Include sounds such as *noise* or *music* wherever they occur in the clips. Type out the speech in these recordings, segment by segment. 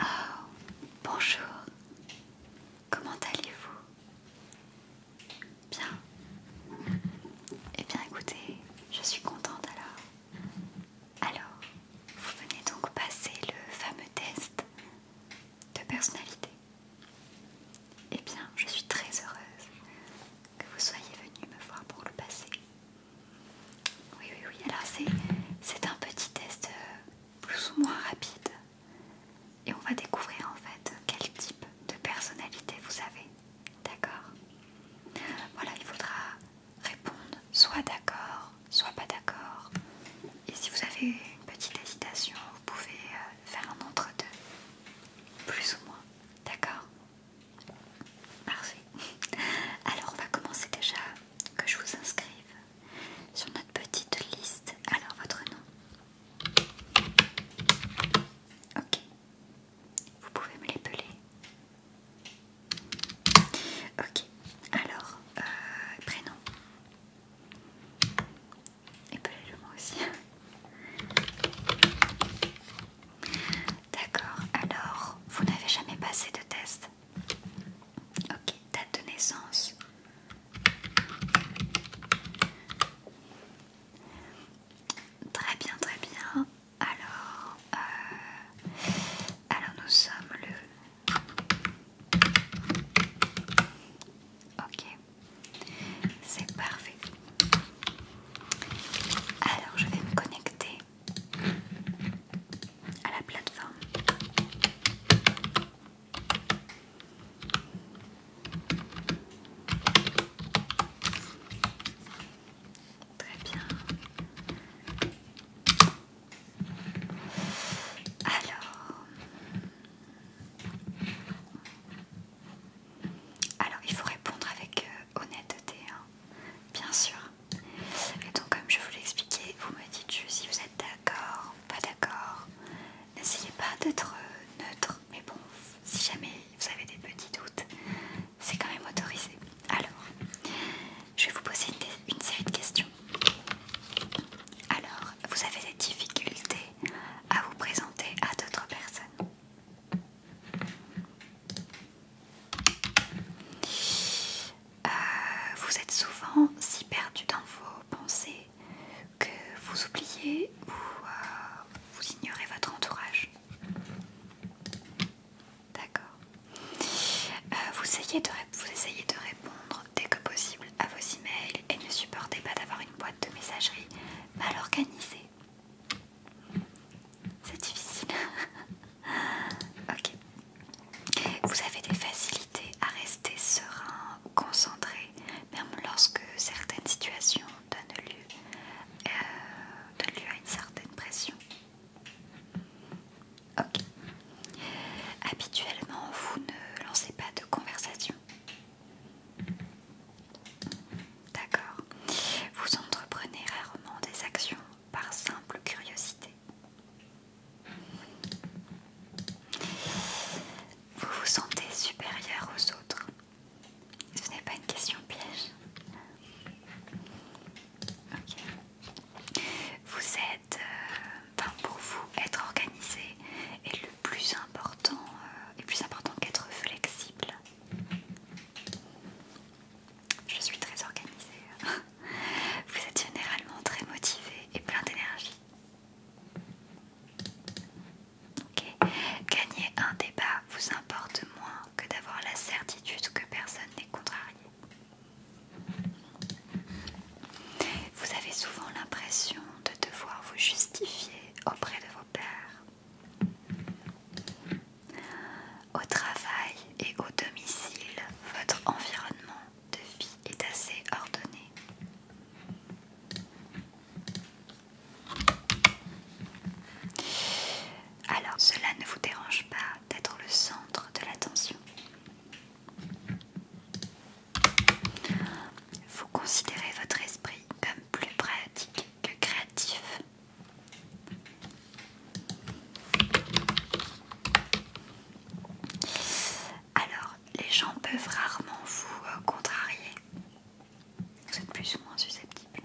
Oh, bonjour. Comment allez-vous Bien. Eh bien écoutez, je suis contente alors. Alors, vous venez donc passer le fameux test de personnalité. Eh bien, je suis très heureuse que vous soyez venu me voir pour le passer. Oui, oui, oui, alors c'est un petit test euh, plus ou moins rapide. Et on va découvrir en fait quel type de personnalité vous avez. D'accord Voilà, il faudra répondre soit d'accord, soit pas d'accord. Et si vous avez une petite hésitation, vous pouvez euh, faire un entre-deux, plus ou moins. D'accord Parfait. *laughs* Alors, on va commencer déjà que je vous inscrive sur notre petite liste. Alors, votre nom Ok. Vous pouvez me les peler Ok, alors, euh, prénom. épelez le moi aussi. D'accord, alors, vous n'avez jamais passé de test Ok, date de naissance. Très bien, très bien. Alors, euh, alors nous sommes le. Ok, c'est parfait. Alors je vais me connecter à la plateforme. Très bien. Alors... Alors, il faut répondre avec euh, honnêteté, hein, bien sûr. Et donc, comme je vous l'ai expliqué, vous me dites juste si vous êtes d'accord, pas d'accord. N'essayez pas d'être euh, neutre, mais bon, si jamais vous avez des petits doutes, c'est quand même autorisé. Alors, je vais vous poser une, série de questions. Alors, vous avez des difficultés à vous présenter à d'autres personnes euh, Vous êtes souvent si perdu dans vos pensées que vous oubliez ou euh, vous ignorez votre entourage D'accord. Euh, vous, essayez de vous de répondre dès que possible à vos emails et ne supportez pas d'avoir une boîte de messagerie mal organisée. C'est difficile. *laughs* ok. Vous avez des facilités à rester serein ou concentré, même lorsque certaines situations euh, donne lieu, à une certaine pression. Ok. Habituellement, vous ne lancez pas de conversation. D'accord. Vous entreprenez rarement des actions par simple curiosité. Vous vous sentez supérieur aux autres. Ce n'est pas une question piège. Ok. Vous êtes, euh, enfin pour vous, être organisé est le plus important, euh, plus important qu'être flexible. Je suis très organisée. *laughs* Vous êtes généralement très motivé et plein d'énergie. Gagner un débat vous importe moins que d'avoir la certitude que personne n'est contrarié. Vous avez souvent l'impression de devoir vous justifier auprès de vos pères. Au travail et au domicile, votre environnement de vie est assez ordonné. Alors, cela ne vous dérange pas d'être le centre de l'attention. Vous considérez votre esprit comme plus pratique que créatif. Alors, les gens peuvent rarement vous euh, contrarier. Vous êtes plus ou moins susceptible.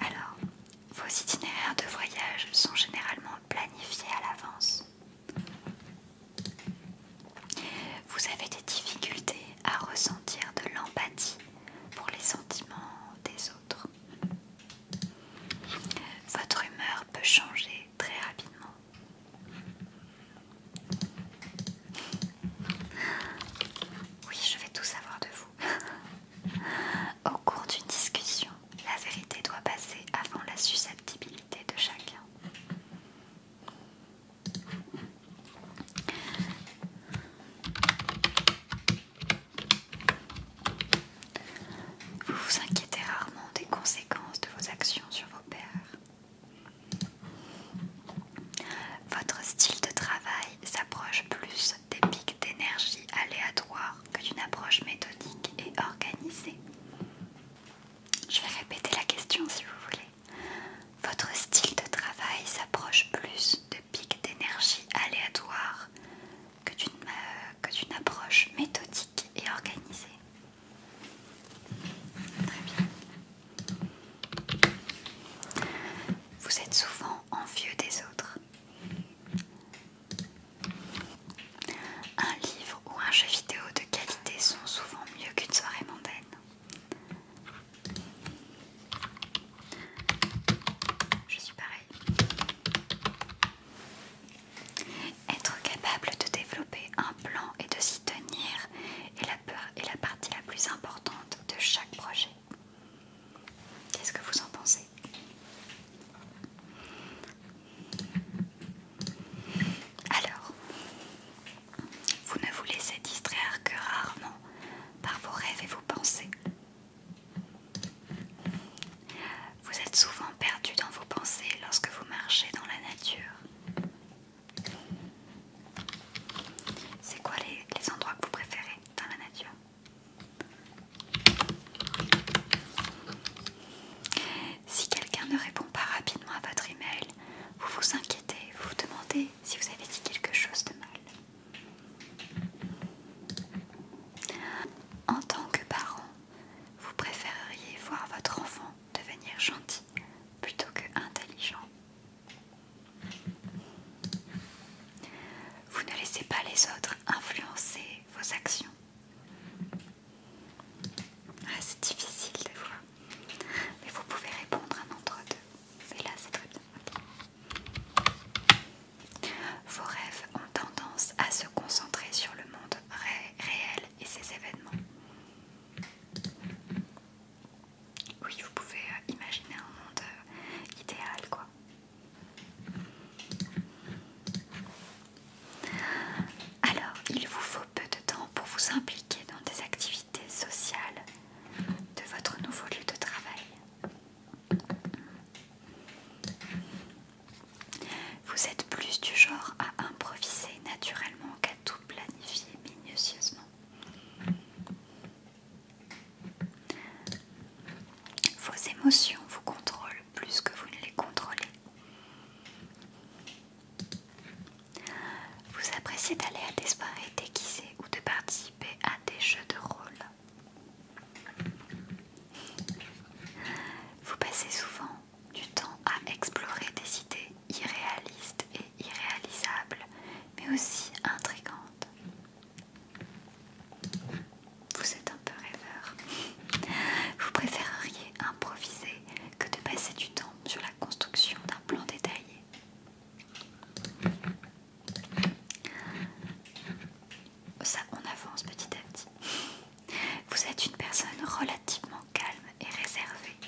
Alors, vos itinéraires de voyage sont généralement planifiés à l'avance. Vous avez des difficultés à ressentir de l'empathie pour les sentiments des autres. Votre humeur peut changer très rapidement. Oui, je vais tout savoir de vous. Au cours d'une discussion, la vérité doit passer avant la susceptibilité de chacun. Vous vous inquiétez rarement des conséquences de vos actions sur vos pairs. Votre style de travail s'approche plus des pics d'énergie aléatoires que d'une approche méthodique et organisée. Je vais répéter la question si vous voulez. Votre style de travail s'approche plus de pics d'énergie aléatoires que d'une euh, approche méthodique et organisée. Très bien. Vous êtes souvent envieux des autres. Un livre ou un jeu vidéo de qualité sont souvent mieux qu'une soirée mondaine. Je suis pareil. Être capable de développer un plan et de s'y tenir est la, partie la plus importante de chaque projet. Qu'est-ce que vous en pensez Alors, vous ne vous laissez distraire que rarement par vos rêves et vos pensées. Vous êtes souvent perdu dans vos pensées lorsque vous marchez dans la nature. C'est quoi les, endroits que vous préférez dans la nature Si quelqu'un ne répond pas rapidement à votre email, vous vous inquiétez, vous vous demandez si vous avez dit quelque chose de mal. En tant que parent, vous préféreriez voir votre enfant devenir gentil plutôt que intelligent. Vous ne laissez pas les autres influencer vos actions. Ah, c'est difficile de voir, mais vous pouvez répondre un entre deux. Et là, c'est très bien. Vos rêves ont tendance à se concentrer sur le monde réel et ses événements. Oui, vous pouvez euh, imaginer un monde euh, idéal, quoi. Alors, il vous faut peu de temps pour vous impliquer dans des activités sociales de votre nouveau lieu de travail. Vous êtes plus du genre à improviser naturellement qu'à tout planifier minutieusement. Vos émotions vous contrôlent plus que vous ne les contrôlez. Vous appréciez d'aller à des soirées déguisées ou de participer à des jeux de rôle. Vous passez souvent du temps à explorer des idées irréalistes et irréalisables, mais aussi intrigantes. Vous êtes un peu rêveur. Vous préféreriez improviser que de passer du temps sur la construction d'un plan détaillé. Ça, on avance petit à petit. Vous êtes une personne relativement calme et réservée.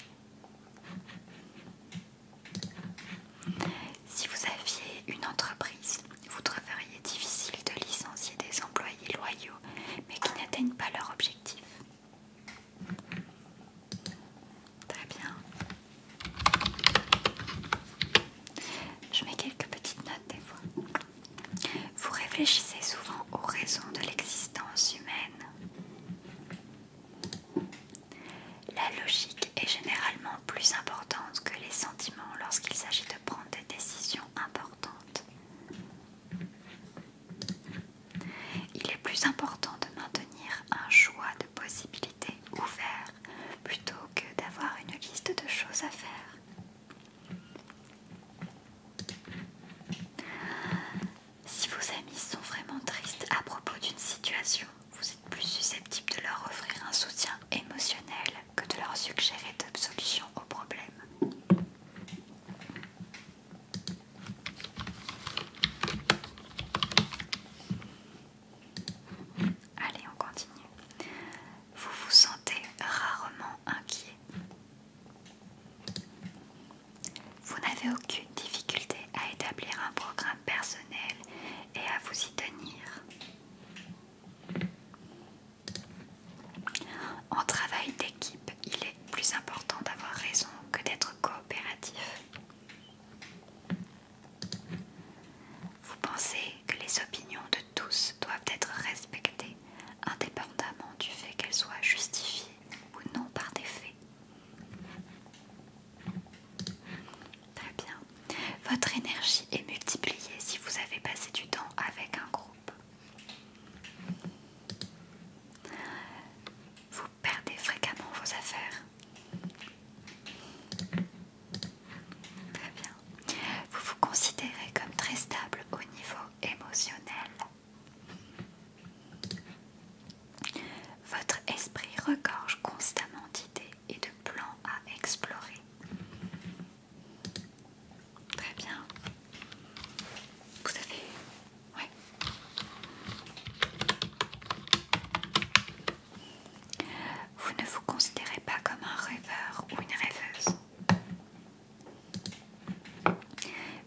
Si vous aviez une entreprise, vous trouveriez difficile de licencier des employés loyaux mais qui n'atteignent pas leur objectif. Très bien. Je mets quelques petites notes des fois. Vous réfléchissez souvent aux raisons de l'existence humaine. La logique est généralement plus importante que les sentiments lorsqu'il s'agit de prendre des décisions importantes. Il est plus important de maintenir un choix de possibilités ouvert plutôt que d'avoir une liste de choses à faire. Si vos amis sont vraiment tristes à propos d'une situation, vous êtes plus susceptible de leur offrir un soutien émotionnel que de leur suggérer de solutions au problème. Allez, on continue. Vous vous sentez rarement inquiet. Vous n'avez aucune difficulté à établir un programme personnel et à vous y tenir. En travail d'équipe, il est plus important d'avoir raison que d'être coopératif. Vous pensez que les opinions de tous doivent être respectées indépendamment du fait qu'elles soient justifiées ou non par des faits. Très bien. Votre énergie est multipliée si vous avez passé du temps avec un groupe. Vous perdez fréquemment vos affaires. Très bien. Vous vous considérez comme très stable au niveau émotionnel. Votre esprit regorge constamment d'idées et de plans à explorer. Très bien. Vous avez... Oui vous ne vous considérez pas comme un rêveur ou une rêveuse.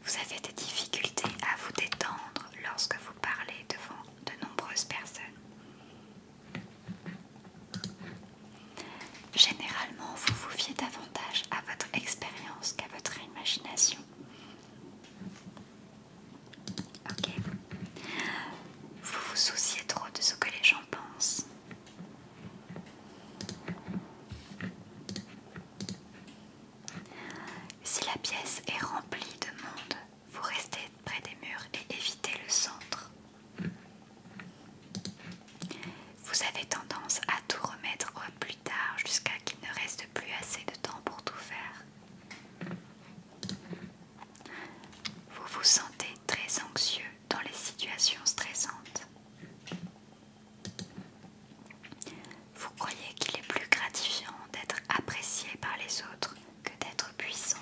Vous avez des difficultés à vous détendre lorsque vous parlez devant de nombreuses personnes. Généralement, vous vous fiez davantage à votre expérience qu'à votre imagination. Ok. Vous vous souciez trop de ce que les gens pensent. Si la pièce est remplie de monde, vous restez près des murs et évitez le centre. Vous avez tendance à tout remettre au plus tard jusqu'à qu'il ne reste plus assez de temps pour tout faire. Vous vous sentez très anxieux dans les situations stressantes. Vous croyez qu'il est plus gratifiant d'être apprécié par les autres que d'être puissant.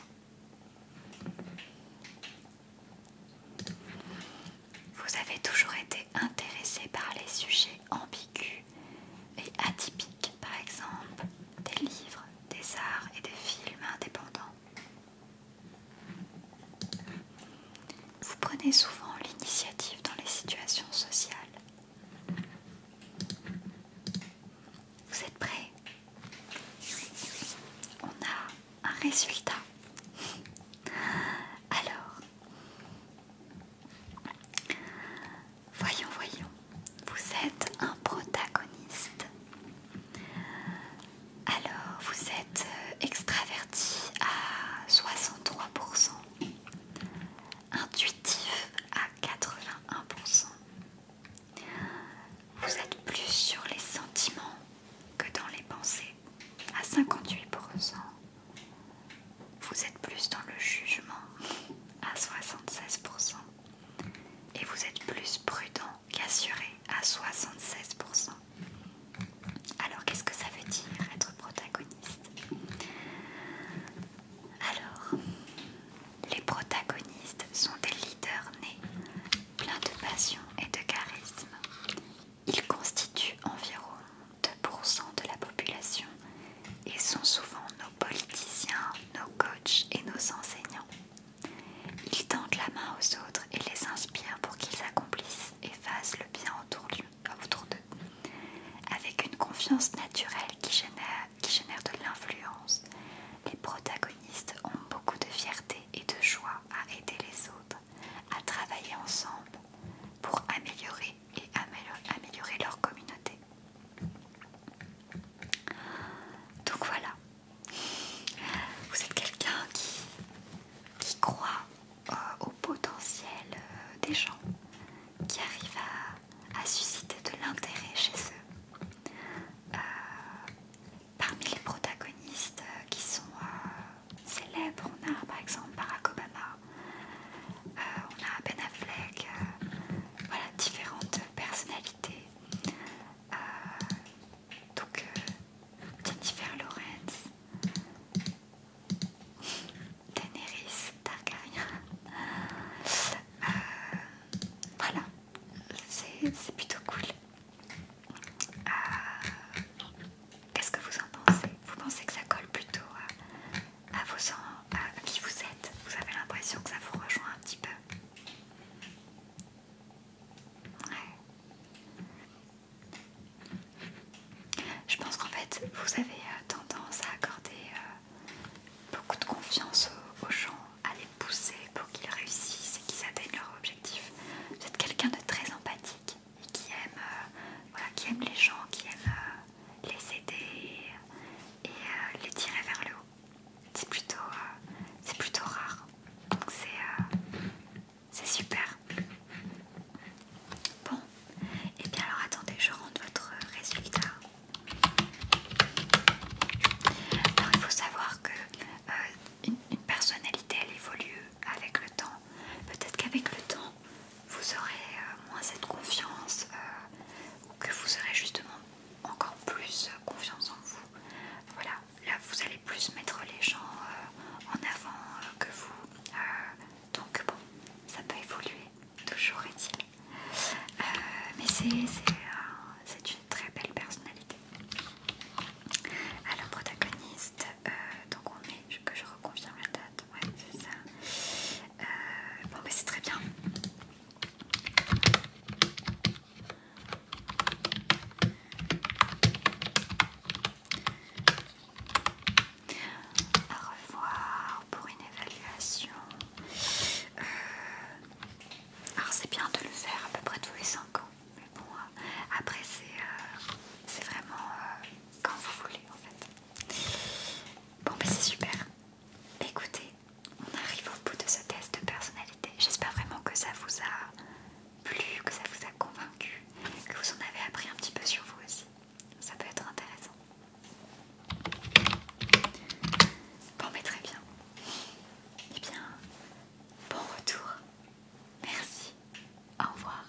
Vous avez toujours été intéressé par les sujets ambigus et atypiques, par exemple des livres, des arts et des films indépendants. Vous prenez souvent l'initiative dans les situations sociales. Vous êtes prêts On a un résultat. Alors, Voyons, voyons. Vous êtes un protagoniste. Alors, vous êtes euh, extraverti à 63%, intuitif à 81%. Vous êtes plus sur les sentiments que dans les pensées, à 58%. Vous êtes plus dans le jugement, à 76% et vous êtes plus prudent qu'assuré à 76%. Alors qu'est-ce que ça veut dire être protagoniste Alors, les protagonistes sont des leaders nés, pleins de passion et de charisme. Ils constituent environ 2% de la population et sont souvent nos politiciens, nos coachs et nos enseignants. Ils tendent la main aux autres et les inspirent pour qu'ils accomplissent et fassent le bien autour d'eux, avec une confiance naturelle qui génère, de l'influence. Les protagonistes ont beaucoup de fierté et de joie à aider les autres, à travailler ensemble pour améliorer et améliorer leur communauté. Donc voilà, vous êtes quelqu'un qui, croit euh, au potentiel euh, des gens, qui arrive à, susciter de l'intérêt chez eux. Euh, parmi les protagonistes qui sont célèbres, on a par exemple Barack Obama, euh, on a Ben Affleck, euh, voilà, différentes personnalités. Euh, donc Jennifer Lawrence, Daenerys Targaryen, voilà, c'est plutôt cool. Qu'est-ce que vous en pensez Vous pensez que ça colle plutôt à, vos, à qui vous êtes. Vous avez l'impression que ça vous rejoint un petit peu. Je pense qu'en fait, vous avez euh, tendance à accorder euh, beaucoup de confiance aux, gens, à les pousser pour qu'ils réussissent et qu'ils atteignent leur objectif. Vous êtes quelqu'un de très empathique et qui aime, euh, qui aime les gens, qui aime les aider, et euh, les tirer vers le haut. C'est plutôt, euh, plutôt rare. Donc c'est euh, C'est super. Bon, et eh bien alors attendez, je rentre votre résultat. Alors il faut savoir que personnalité elle évolue avec le temps. Peut-être qu'avec le temps, vous aurez euh, moins cette confiance euh, ou que vous aurez justement encore plus euh, confiance en vous. Voilà, là vous allez plus mettre les gens en avant que vous. donc bon, ça peut évoluer, toujours est-il. mais c'est une très belle personnalité. Alors protagoniste, donc on est, que je reconfirme la date ouais, c'est ça. Euh, bon, mais ben, c'est très bien. au revoir pour une évaluation. Euh, alors, c'est bien de le faire à peu près tous les 5 ans, mais bon, euh, après, c'est vraiment quand vous voulez en fait. Bon, mais c'est super. Écoutez, on arrive au bout de ce test de personnalité. J'espère vraiment que ça vous a plu, que ça vous a convaincu, que vous en avez appris un petit peu sur vous aussi. Ça peut être intéressant. Bon, mais très bien. et eh bien, bon retour. Merci. Au revoir.